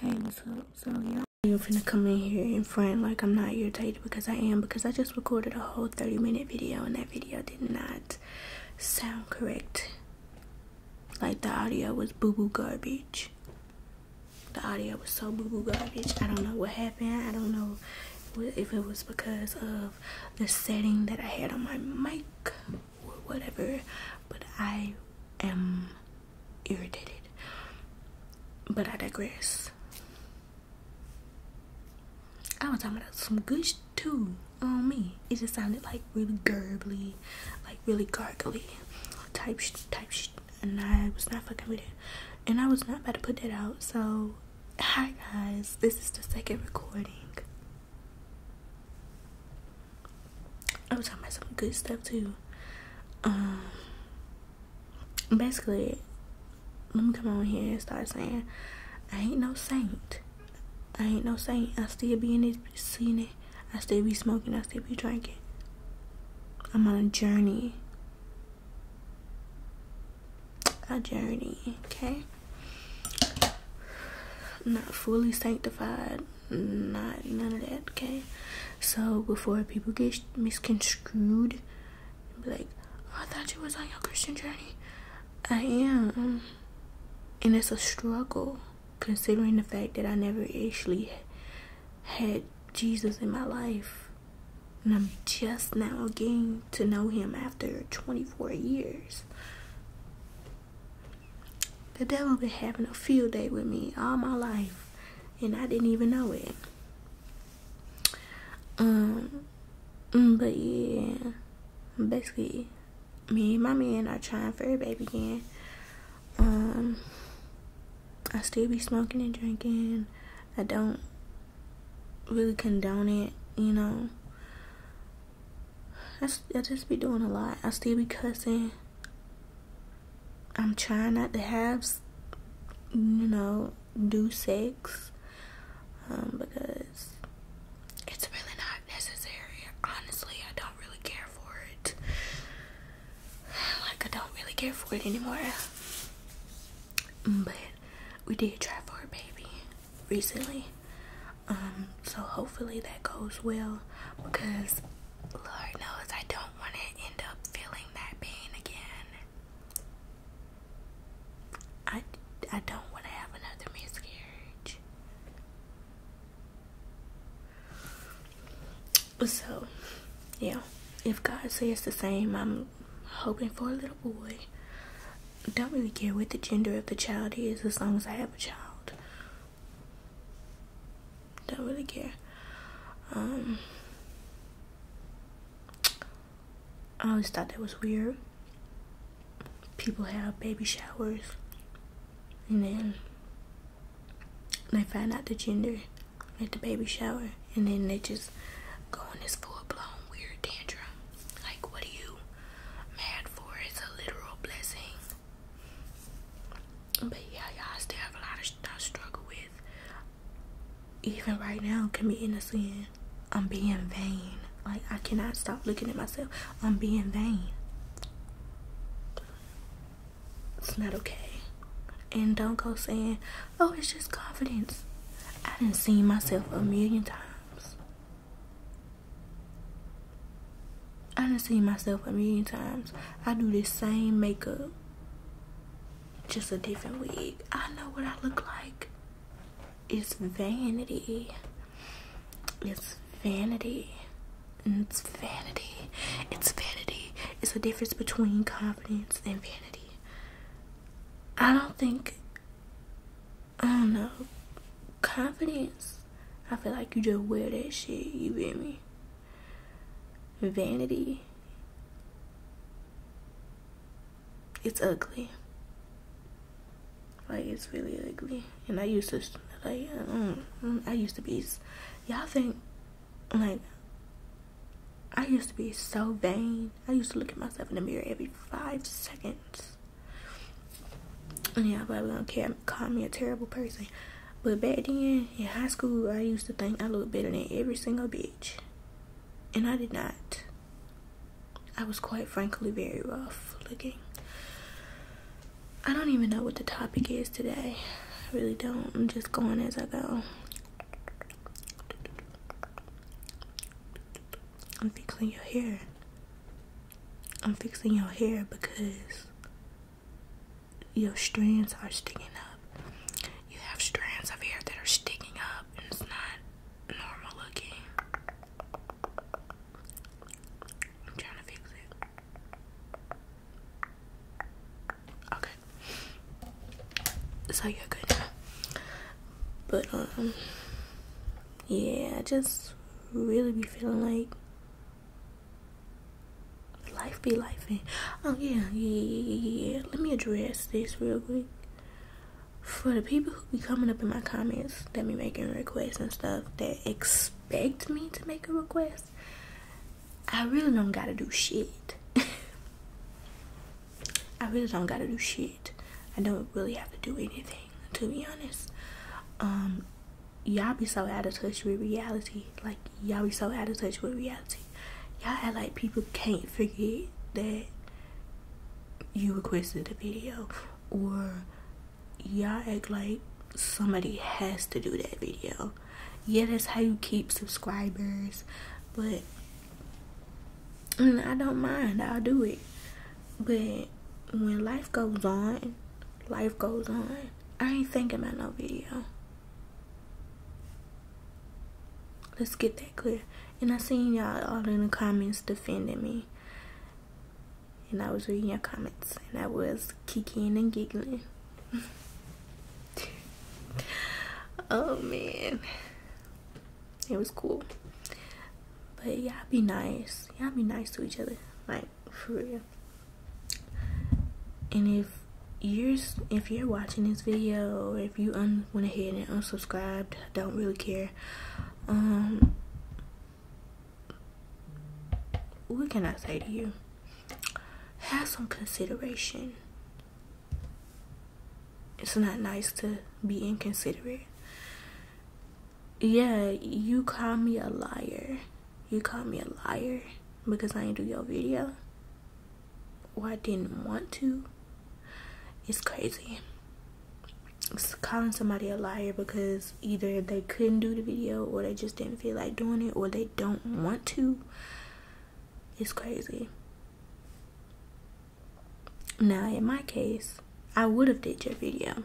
Hey, what's up? So, y'all, you gonna come in here and front like I'm not irritated because I am because I just recorded a whole 30 minute video and that video did not sound correct. Like, the audio was boo boo garbage. The audio was so boo boo garbage. I don't know what happened. I don't know if it was because of the setting that I had on my mic or whatever, but I am irritated. But I digress. I was talking about some good too on me. It just sounded like really gurgly, like really gargly type sh- type sh- and I was not fucking with it. And I was not about to put that out. So, hi guys, this is the second recording i was talking about some good stuff too. Um, basically, let me come on here and start saying, I ain't no saint. I ain't no saint. I still be in this scene. It. I still be smoking. I still be drinking. I'm on a journey. A journey, okay? Not fully sanctified not none of that, okay? So before people get misconstrued, be like, oh, I thought you was on your Christian journey. I am, and it's a struggle considering the fact that I never actually had Jesus in my life, and I'm just now getting to know Him after 24 years. The devil been having a field day with me all my life, and I didn't even know it. Um, mm, but yeah, basically, me and my man are trying for a baby again. Um, I still be smoking and drinking. I don't really condone it, you know. I, I just be doing a lot. I still be cussing. I'm trying not to have, you know, do sex um, because it's really not necessary. Honestly, I don't really care for it. Like, I don't really care for it anymore. But we did try for a baby recently. Um, so hopefully that goes well because Lord knows I don't want to end up feeling that pain again. I, I don't want to have another miscarriage. So, yeah, if God says the same, I'm hoping for a little boy. don't really care what the gender of the child is as long as I have a child. Don't really care. Um, I always thought that was weird. People have baby showers and then they find out the gender at the baby shower and then they just go on this full blown weird tantrum. Like, what are you mad for? It's a literal blessing. But yeah, y'all still have a lot of stuff to struggle with. Even right now, committing a sin, I'm being vain. Like, I cannot stop looking at myself. I'm being vain. It's not okay. And don't go saying, oh, it's just confidence. I have not see myself a million times. I done seen myself a million times. I do the same makeup, just a different wig. I know what I look like. It's vanity. It's vanity. It's vanity. It's vanity. It's a difference between confidence and vanity. I don't think, I don't know, confidence I feel like you just wear that shit, you feel me? Vanity. It's ugly. Like it's really ugly. And I used to like mm, mm, I used to be y'all think like I used to be so vain. I used to look at myself in the mirror every five seconds. And yeah, but I don't care. Call me a terrible person. But back then in high school, I used to think I looked better than every single bitch, and I did not. I was quite frankly very rough looking. I don't even know what the topic is today. I really don't. I'm just going as I go. I'm fixing your hair. I'm fixing your hair because your strands are sticking up. You have strands of hair that are sticking up, and it's not normal looking. I'm trying to fix it. Okay. So you're good now. But, um, yeah, I just really be feeling like life be life and eh? oh yeah, yeah yeah yeah yeah let me address this real quick for the people who be coming up in my comments that be making requests and stuff that expect me to make a request i really don't gotta do shit i really don't gotta do shit i don't really have to do anything to be honest um y'all be so out of touch with reality. Like y'all be so out of touch with reality. Y'all act like people can't forget that you requested a video or y'all act like somebody has to do that video. Yeah, that's how you keep subscribers, but mm, I don't mind, I'll do it. But when life goes on life goes on. I ain't thinking about no video. Let's get that clear. And I seen y'all all in the comments defending me. And I was reading your comments. And I was kicking and giggling. oh, man. It was cool. But y'all be nice. Y'all be nice to each other. Like, for real and if you're if you're watching this video or if you un, went ahead and unsubscribed don't really care um what can i say to you have some consideration it's not nice to be inconsiderate yeah you call me a liar you call me a liar because I didn't do your video or I didn't want to. It's crazy. calling somebody a liar because either they couldn't do the video or they just didn't feel like doing it or they don't want to. It's crazy. Now, in my case, I would have did your video.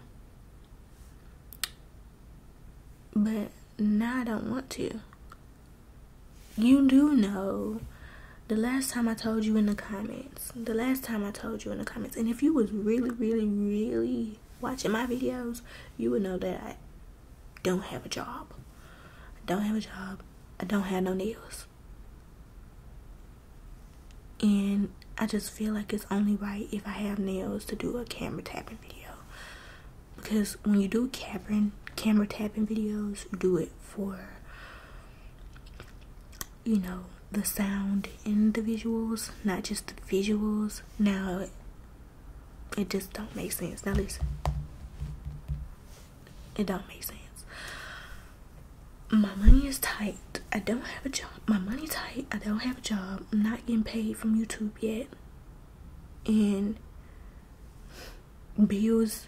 But now I don't want to. You do know the last time I told you in the comments, the last time I told you in the comments, and if you was really, really, really watching my videos, you would know that I don't have a job. I don't have a job. I don't have no nails. And I just feel like it's only right if I have nails to do a camera tapping video because when you do camera camera tapping videos, do it for you know the sound and the visuals, not just the visuals. Now it just don't make sense. Now listen, it don't make sense. My money is tight. I don't have a job. My money tight. I don't have a job. I'm not getting paid from YouTube yet and bills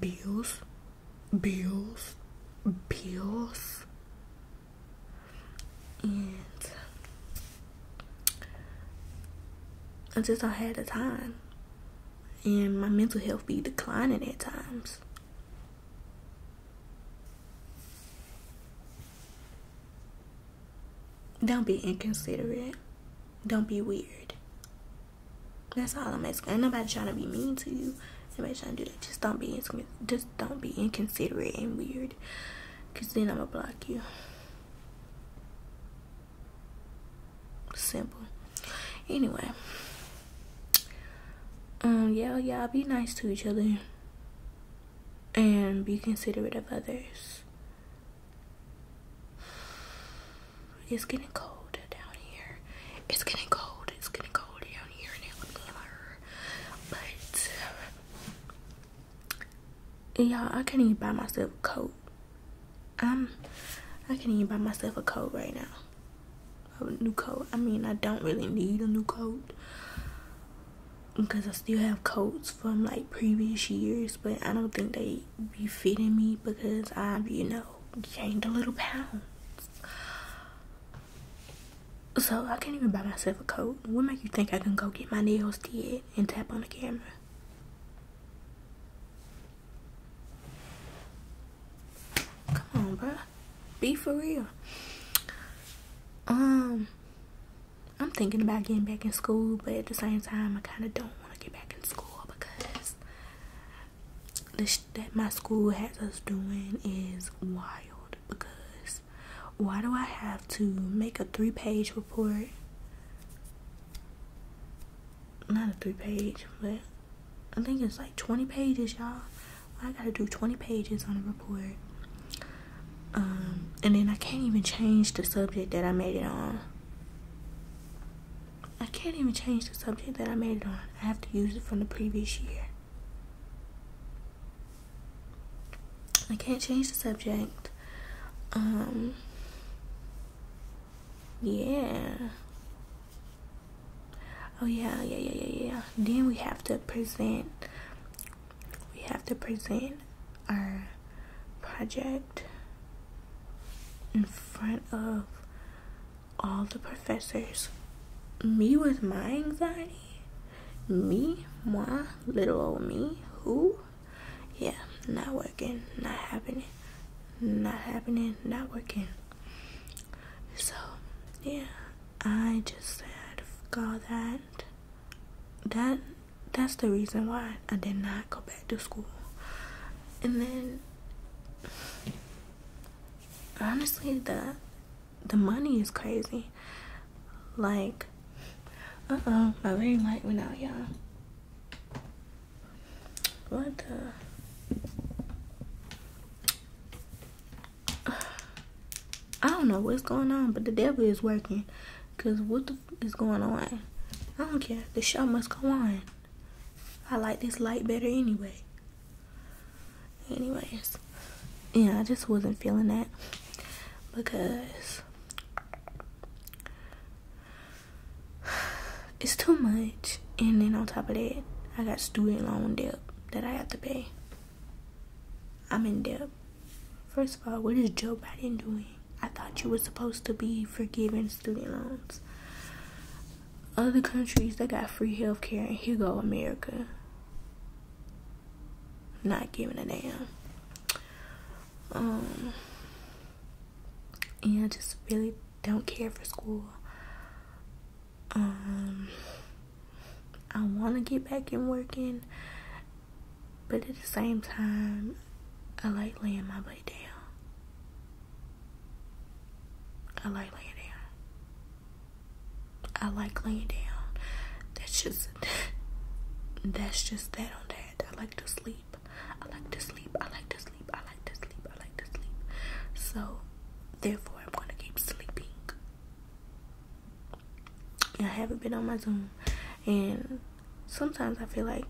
bills bills bills and I just I had the time and my mental health be declining at times. Don't be inconsiderate. Don't be weird. That's all I'm asking. nobody trying to be mean to you. Nobody trying to do that. Just don't be just don't be inconsiderate and weird. Cause then I'ma block you. Simple. Anyway. Um, yeah, yeah, be nice to each other and be considerate of others. It's getting cold down here. It's getting cold. It's getting cold down here now. But you I can't even buy myself a coat. I'm I i can not even buy myself a coat right now. A new coat. I mean, I don't really need a new coat because I still have coats from like previous years, but I don't think they be fitting me because I've, you know, gained a little pounds. So I can't even buy myself a coat. What make you think I can go get my nails did and tap on the camera? Come on, bruh. Be for real. Um I'm thinking about getting back in school, but at the same time, I kind of don't want to get back in school because the that my school has us doing is wild. Because why do I have to make a three page report? Not a three page, but I think it's like 20 pages, y'all. I gotta do 20 pages on a report. Um, and then I can't even change the subject that I made it on. I can't even change the subject that I made it on. I have to use it from the previous year. I can't change the subject. Um, yeah. Oh, yeah, yeah, yeah, yeah, yeah. Then we have to present we have to present our project in front of all the professors. Me with my anxiety, me, my little old me, who? Yeah, not working, not happening, not happening, not working. So, yeah, I just said, forgot that that that's the reason why I did not go back to school. And then honestly the the money is crazy. Like uh oh, my ring light went out, y'all. What the I don't know what's going on, but the devil is working. Cause what the f- is going on? I don't care. The show must go on. I like this light better anyway. Anyways, yeah, I just wasn't feeling that because it's too much. And then on top of that, I got student loan debt that I have to pay. I'm in debt. First of all, what is Joe Biden doing? I thought you were supposed to be forgiving student loans. Other countries that got free health care, and here go America. Not giving a damn. Um, and I just really don't care for school. Um, I want to get back and working, but at the same time, I like laying my butt down. I like laying down. I like laying down. That's just that's just that on that. I like to sleep. I like to sleep. I like to sleep. I like to sleep. I like to sleep. So, therefore, I'm gonna keep sleeping. I haven't been on my Zoom. And sometimes I feel like,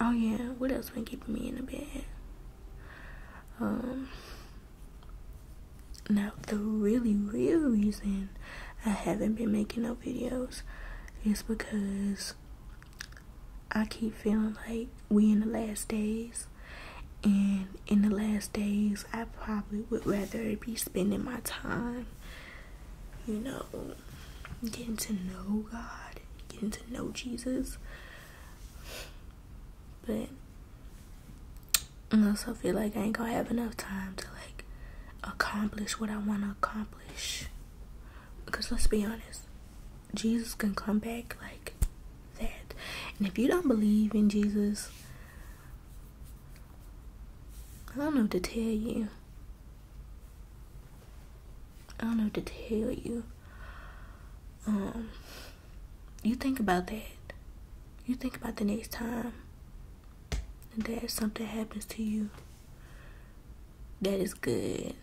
oh yeah, what else been keeping me in the bed? Um, now the really real reason I haven't been making no videos is because I keep feeling like we in the last days. And in the last days, I probably would rather be spending my time you know, getting to know God, getting to know Jesus. But I also feel like I ain't gonna have enough time to like accomplish what I want to accomplish. Because let's be honest, Jesus can come back like that. And if you don't believe in Jesus, I don't know to tell you. I don't know to tell you. Um, you think about that. You think about the next time that something happens to you that is good.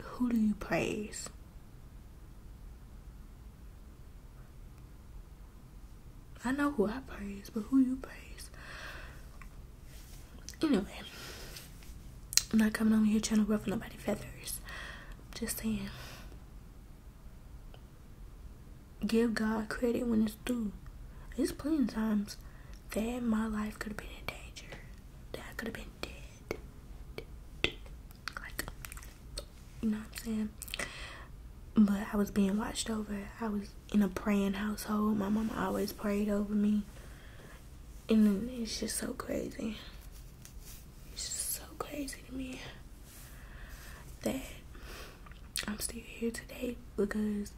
Who do you praise? I know who I praise, but who you praise. Anyway, I'm not coming on here trying to ruffle nobody's feathers. I'm just saying. Give God credit when it's due. There's plenty of times that my life could have been in danger. That I could have been dead you know what I'm saying? But I was being watched over. I was in a praying household. My mama always prayed over me. And it's just so crazy. It's just so crazy to me that I'm still here today because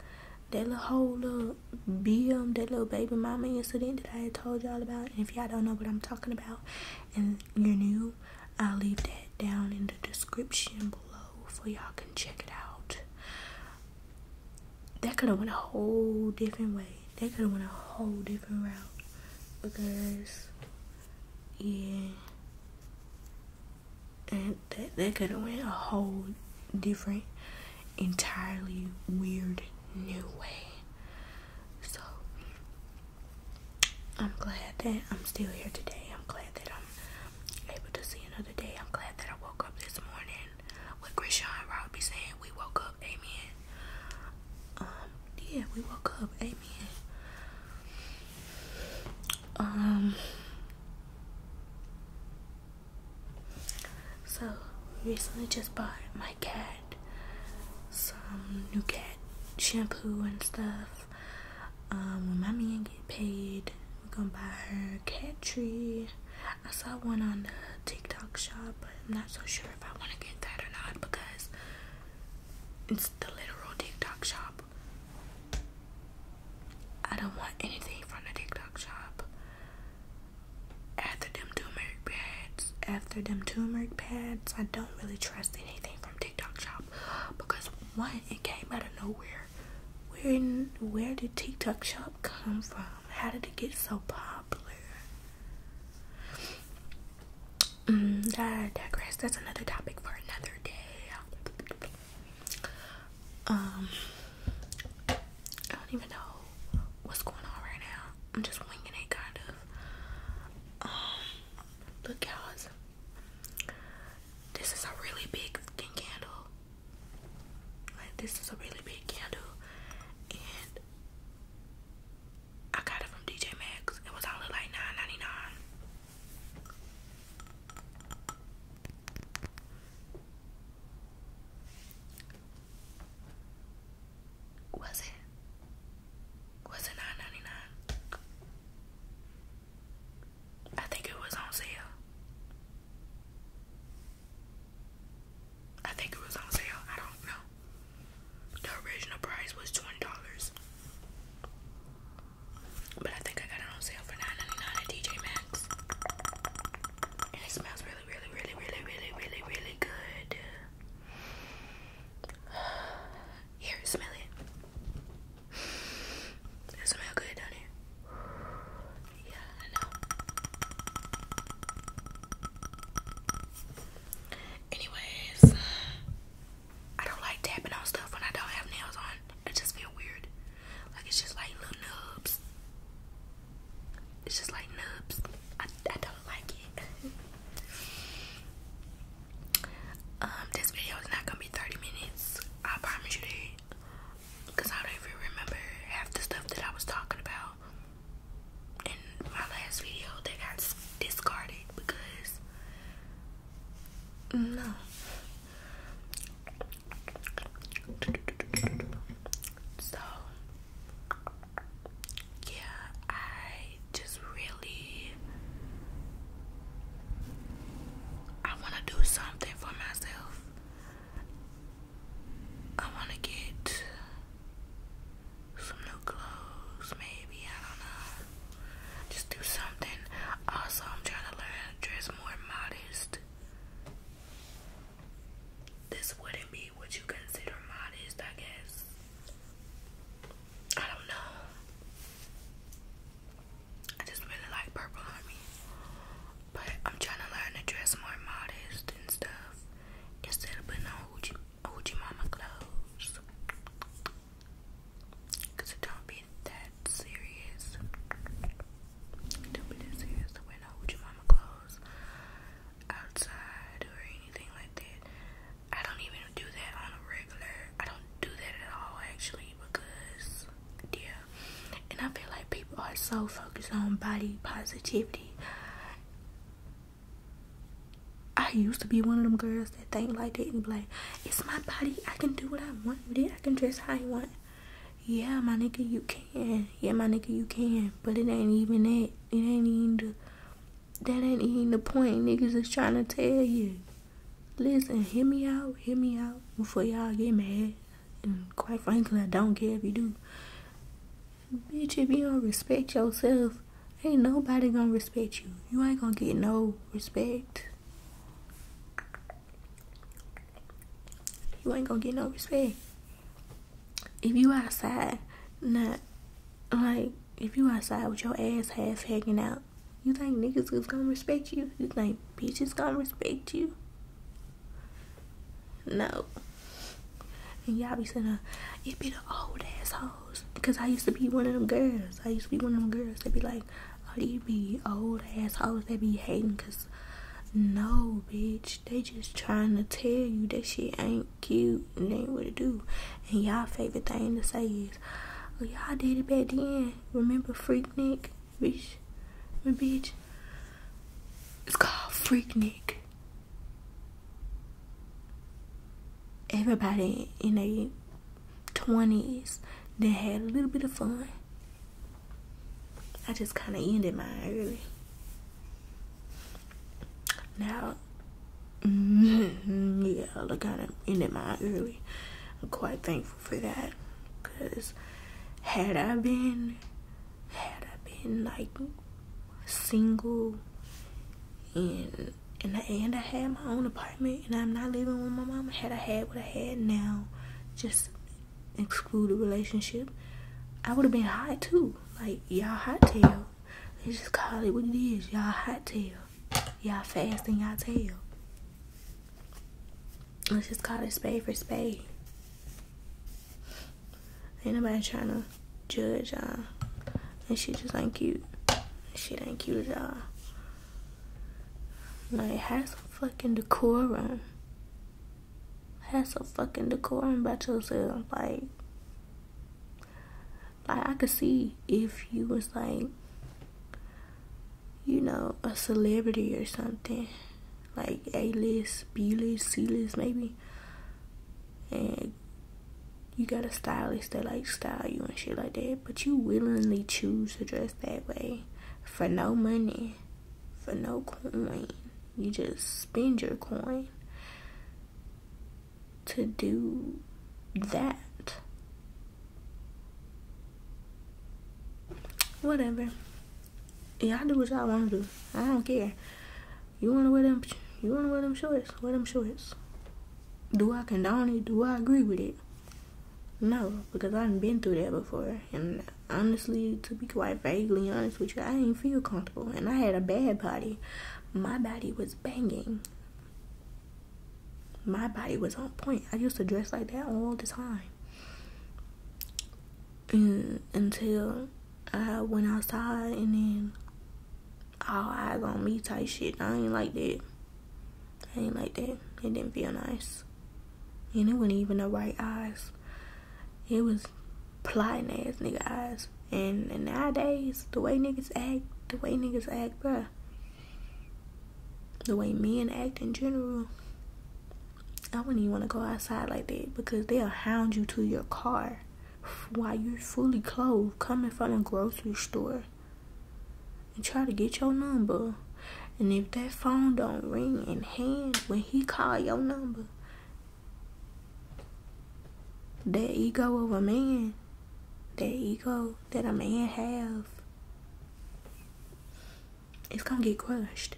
that little whole little BM, that little baby mama incident that I had told y'all about. And if y'all don't know what I'm talking about and you're new I'll leave that down in the description below for y'all can check it out. That could have went a whole different way. That could have went a whole different route because yeah, and that that could have went a whole different, entirely weird new way. So I'm glad that I'm still here today. I'm glad that I'm able to see another day. I'm glad that I woke up this morning. What Christian Robbie saying, we woke up, amen. Um, yeah, we woke up, amen. Um, so recently just bought my cat some new cat shampoo and stuff. Um, when my man get paid, we gonna buy her a cat tree. I saw one on the TikTok shop, but I'm not so sure if I want to get that or not because it's the literal TikTok shop. I don't want anything from the TikTok shop. After them turmeric pads, after them turmeric pads, I don't really trust anything from TikTok shop because what? It came out of nowhere. Where in, where did TikTok shop come from? How did it get so popular? Mm, I digress. That's another topic for another day. Um, I don't even know what's going on right now. I'm just winging it, kind of. Um, look, y'all. This is a really big candle. Like this is a really big candle, and I got it from DJ Maxx. It was only like nine ninety nine. Was it? Was it nine ninety nine? I think it was on sale. I think it was on sale. I don't know. The original price was twenty dollars, but I think I got it on sale for nine ninety nine at DJ Maxx, and it smells really, really, really, really, really, really, really good. Here, smell it. It smells good, doesn't Yeah, I know. Anyways, uh, I don't like tapping on stuff when I don't have nails on. It just feels weird. Like it's just like little nubs. It's just like nubs. I, I don't like it. Um, this video is not gonna be 30 minutes. I promise you that. Cause I don't even remember half the stuff that I was talking about in my last video that got discarded because no. So yeah, I just really I want to do something for myself. I want to get some new clothes, maybe. I don't know. Just do something. Also, I'm trying to learn to dress more modest. This wouldn't be what you consider modest, I guess. I don't know. I just really like purple on me. But I'm trying to learn to dress more modest and stuff instead of putting on hoochie, hoochie mama clothes. Because it don't be that serious. don't be serious to wear no hoochie mama clothes outside or anything like that. I don't even do do that on a regular. I don't do that at all actually because yeah. And I feel like people are so focused on body positivity. I used to be one of them girls that think like that and be like, it's my body. I can do what I want with it. I can dress how I want. Yeah, my nigga, you can. Yeah, my nigga, you can. But it ain't even that. It ain't even the. That ain't even the point niggas is trying to tell you. Listen, hear me out, hear me out before y'all get mad. And quite frankly, I don't care if you do. Bitch, if you don't respect yourself, ain't nobody gonna respect you. You ain't gonna get no respect. You ain't gonna get no respect. If you outside, not like if you outside with your ass half hanging out, you think niggas is gonna respect you? You think bitches gonna respect you? No. And y'all be saying, it be the old assholes. Because I used to be one of them girls. I used to be one of them girls They be like, oh, you be old assholes They be hating. Because, no, bitch. They just trying to tell you that shit ain't cute and ain't what it do. And y'all favorite thing to say is, well, oh, y'all did it back then remember Freaknik, bitch? My bitch. It's called Freaknik. Everybody in the 20s that had a little bit of fun. I just kind of ended mine early. Now, yeah, I kind of ended mine early. I'm quite thankful for that because had I been had I been like single and and and I had my own apartment and I'm not living with my mom had I had what I had now just exclude relationship I would have been hot too like y'all hot tail It's just call it what it is y'all hot tail Y'all fast and y'all tell. Let's just call it spade for spade. Ain't nobody trying to judge y'all. And she just ain't cute. She ain't cute at all. Like, have some fucking decorum. Have some fucking decorum about yourself. Like, like I could see if you was like you know, a celebrity or something, like A list, B list, C list, maybe. And you got a stylist that like style you and shit like that, but you willingly choose to dress that way for no money, for no coin. You just spend your coin to do that. Whatever. Yeah, I do what y'all want to do. I don't care. You want to wear them? You want to wear them shorts? Wear them shorts. Do I condone it? Do I agree with it? No, because I've been through that before. And honestly, to be quite vaguely honest with you, I didn't feel comfortable. And I had a bad body. My body was banging my body was on point. I used to dress like that all the time. And mm, until uh, I went outside and then all eyes on me type shit. I ain't like that. I ain't like that. It didn't feel nice. And it wasn't even the right eyes. It was plotting ass nigga eyes. And, and nowadays, the way niggas act, the way niggas act, bruh the way men act in general, I wouldn't even want to go outside like that because they'll hound you to your car while you're fully clothed coming from a grocery store and try to get your number. And if that phone don't ring in hand when he call your number, that ego of a man, that ego that a man have it's gonna get crushed.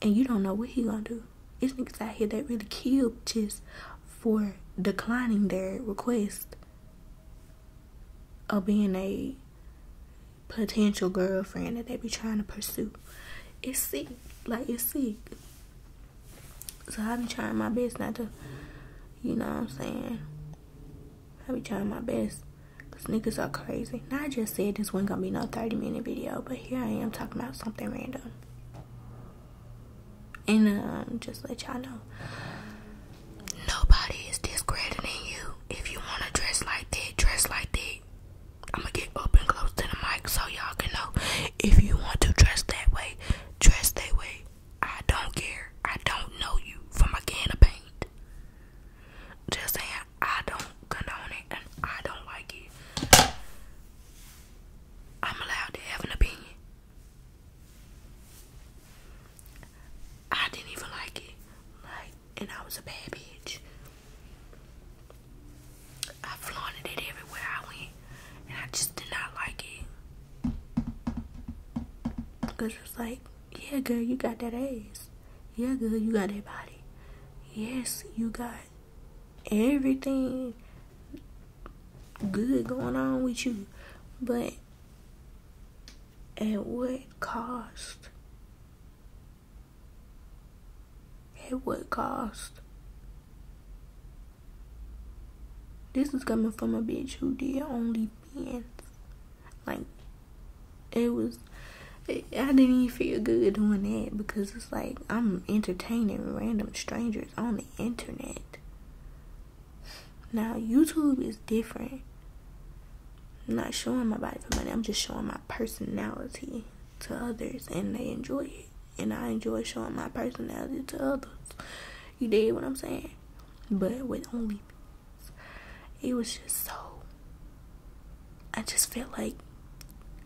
And you don't know what he gonna do. It's niggas out here that really kill just for declining their request of being a potential girlfriend that they be trying to pursue. It's sick. Like it's sick. So I be trying my best not to you know what I'm saying? I be trying my best. Cause niggas are crazy. Now I just said this wasn't gonna be no 30 minute video, but here I am talking about something random. And um, just let y'all know. Nobody is discrediting you. If you wanna dress like that, dress like that. I'ma get open close to the mic so y'all can know. If you want to dress that way, dress that way. I don't care. I don't know you from a can of paint. Just saying, I don't condone it and I don't like it. I'm allowed to have an opinion. I didn't even like it. Like, and I was a bad bitch. I flaunted it everywhere I went, and I just did not like it. Because it's like, yeah, girl, you got that ass. Yeah, girl, you got that body. Yes, you got everything good going on with you. But at what cost? At what cost? This is coming from a bitch who did only hands. Like, it was, I didn't even feel good doing that because it's like I'm entertaining random strangers on the internet. Now, YouTube is different. I'm not showing my body for money, I'm just showing my personality to others and they enjoy it. And I enjoy showing my personality to others. You did what I'm saying? But with only it was just so. I just felt like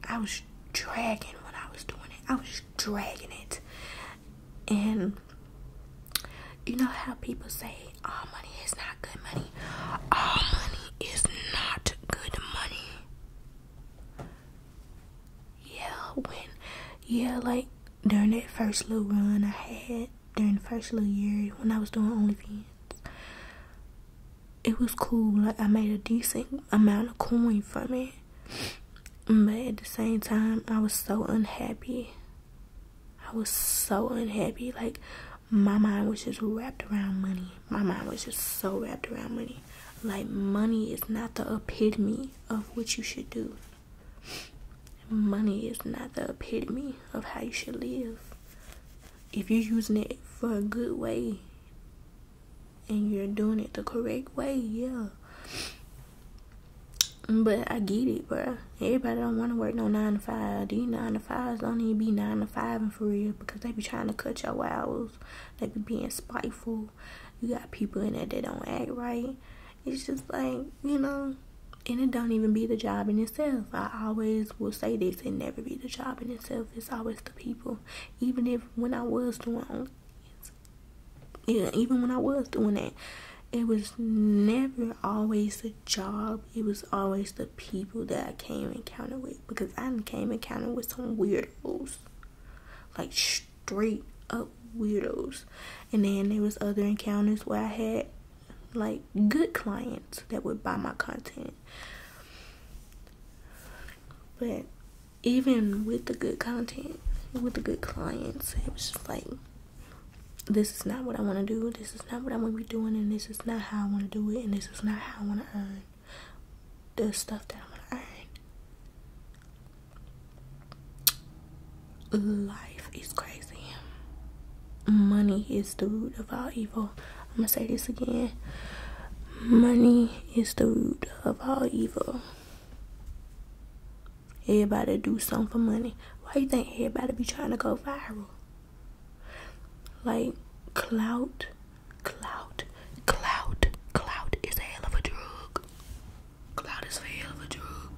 I was dragging when I was doing it. I was dragging it. And you know how people say all money is not good money? All money is not good money. Yeah, when, yeah, like during that first little run I had, during the first little year when I was doing only OnlyFans, it was cool. Like I made a decent amount of coin from it, but at the same time, I was so unhappy. I was so unhappy. Like my mind was just wrapped around money. My mind was just so wrapped around money. Like money is not the epitome of what you should do. Money is not the epitome of how you should live. If you're using it for a good way and you're doing it the correct way, yeah. But I get it, bro. Everybody don't want to work no nine to five. These nine to fives don't even be nine to five and for real because they be trying to cut your hours. They be being spiteful. You got people in there that don't act right it's just like, you know, and it don't even be the job in itself. I always will say this, it never be the job in itself. It's always the people. Even if when I was doing yeah, even when I was doing it, it was never always the job. It was always the people that I came encounter with because I came encounter with some weirdos, like straight up weirdos. And then there was other encounters where I had like good clients that would buy my content. But even with the good content, with the good clients, it was just like, this is not what I want to do, this is not what I want to be doing, and this is not how I want to do it, and this is not how I want to earn the stuff that I want to earn life is crazy. Money is the root of all evil. I'm gonna say this again. Money is the root of all evil. Everybody do something for money. Why you think everybody be trying to go viral? Like clout, clout, clout, clout is a hell of a drug. Clout is a hell of a drug.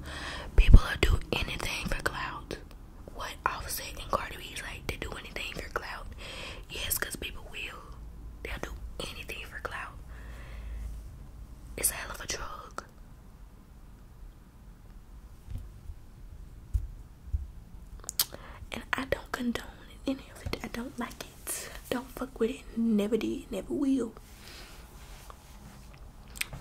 People will do anything for clout what Offset and Cardi B's like to do anything for clout. Yes, because people will. They'll do anything for clout. It's a hell of a drug. And I don't condone any of it. I don't like it. Don't fuck with it. Never did. Never will.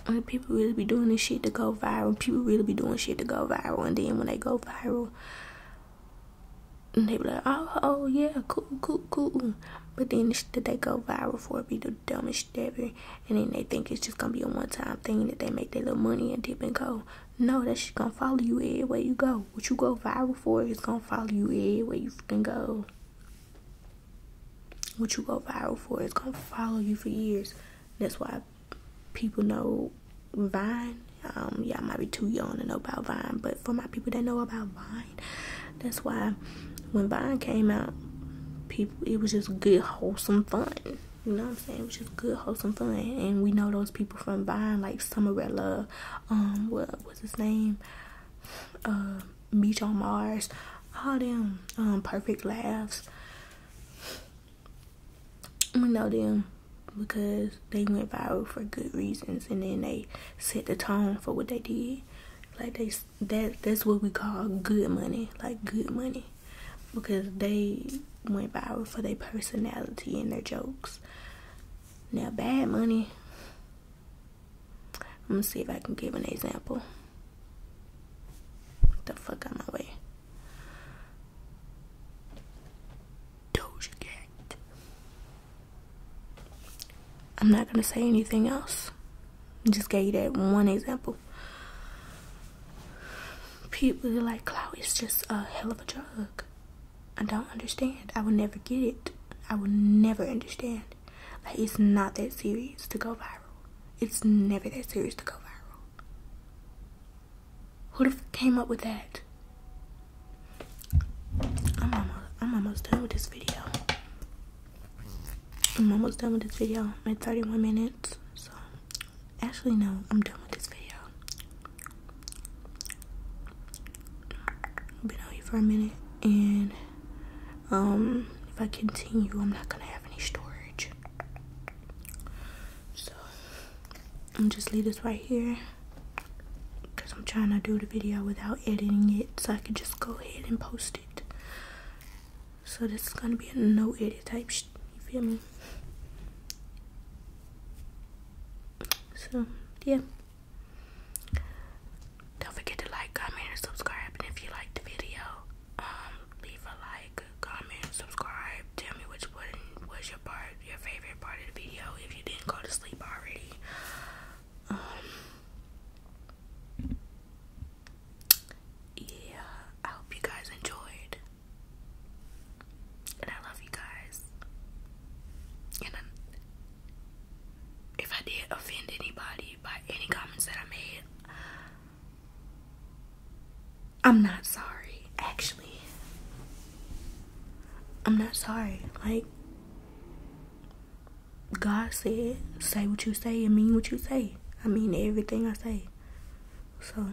And people really be doing this shit to go viral. People really be doing shit to go viral. And then when they go viral, they be like, oh, oh, yeah, cool, cool, cool. But then the they go viral for be the dumbest shit ever. And then they think it's just gonna be a one time thing that they make their little money and dip and go. No, that shit gonna follow you everywhere you go. What you go viral for is gonna follow you everywhere you can go what you go viral for is gonna follow you for years. That's why people know Vine. Um, Y'all might be too young to know about Vine, but for my people that know about Vine, that's why when Vine came out, people it was just good wholesome fun. You know what I'm saying? It was just good wholesome fun, and we know those people from Vine like Summer Red Um, what was his name? Beach uh, on Mars. All them um, perfect laughs we know them because they went viral for good reasons and then they set the tone for what they did like they that that's what we call good money like good money because they went viral for their personality and their jokes now bad money Let me see if i can give an example the fuck out my way. Doja Cat. I'm not gonna say anything else. just gave you that one example. People like Clout is just a hell of a drug. I don't understand. I will never get it. I will never understand. Like it's not that serious to go viral. It's never that serious to go viral. Who the f came up with that? I'm almost, done with this video. I'm almost done with this video. i at 31 minutes. So, actually, no, I'm done with this video. I've been on here for a minute, and um, if I continue, I'm not gonna have any storage. So I'm just leave this right here because I'm trying to do the video without editing it so I can just go ahead and post it. So this is gonna be a no edit type shit, you feel me? So yeah. Don't forget to like, comment, and subscribe. And if you like the video, um leave a like, comment, subscribe. Tell me which one was your part, your favorite part of the video. If you didn't go to sleep already, um, yeah. I hope you guys enjoyed, and I love you guys. And if I did offend anybody by any comments that I made, I'm not sorry, actually. I'm not sorry. Like, God said, say what you say and mean what you say. I mean everything I say. So,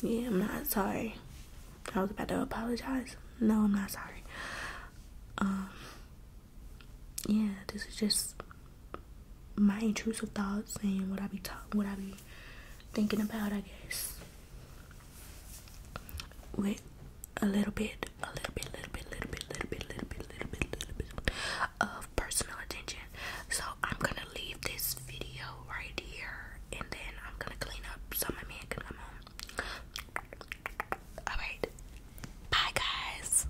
yeah, I'm not sorry. I was about to apologize. No, I'm not sorry. Um, yeah, this is just my intrusive thoughts and what I be talking, what I be thinking about, I guess. With a little bit, a little bit, little bit, little bit, little bit, little bit, little bit, little bit of personal attention. So I'm gonna leave this video right here, and then I'm gonna clean up so my man can come home. All right, bye guys.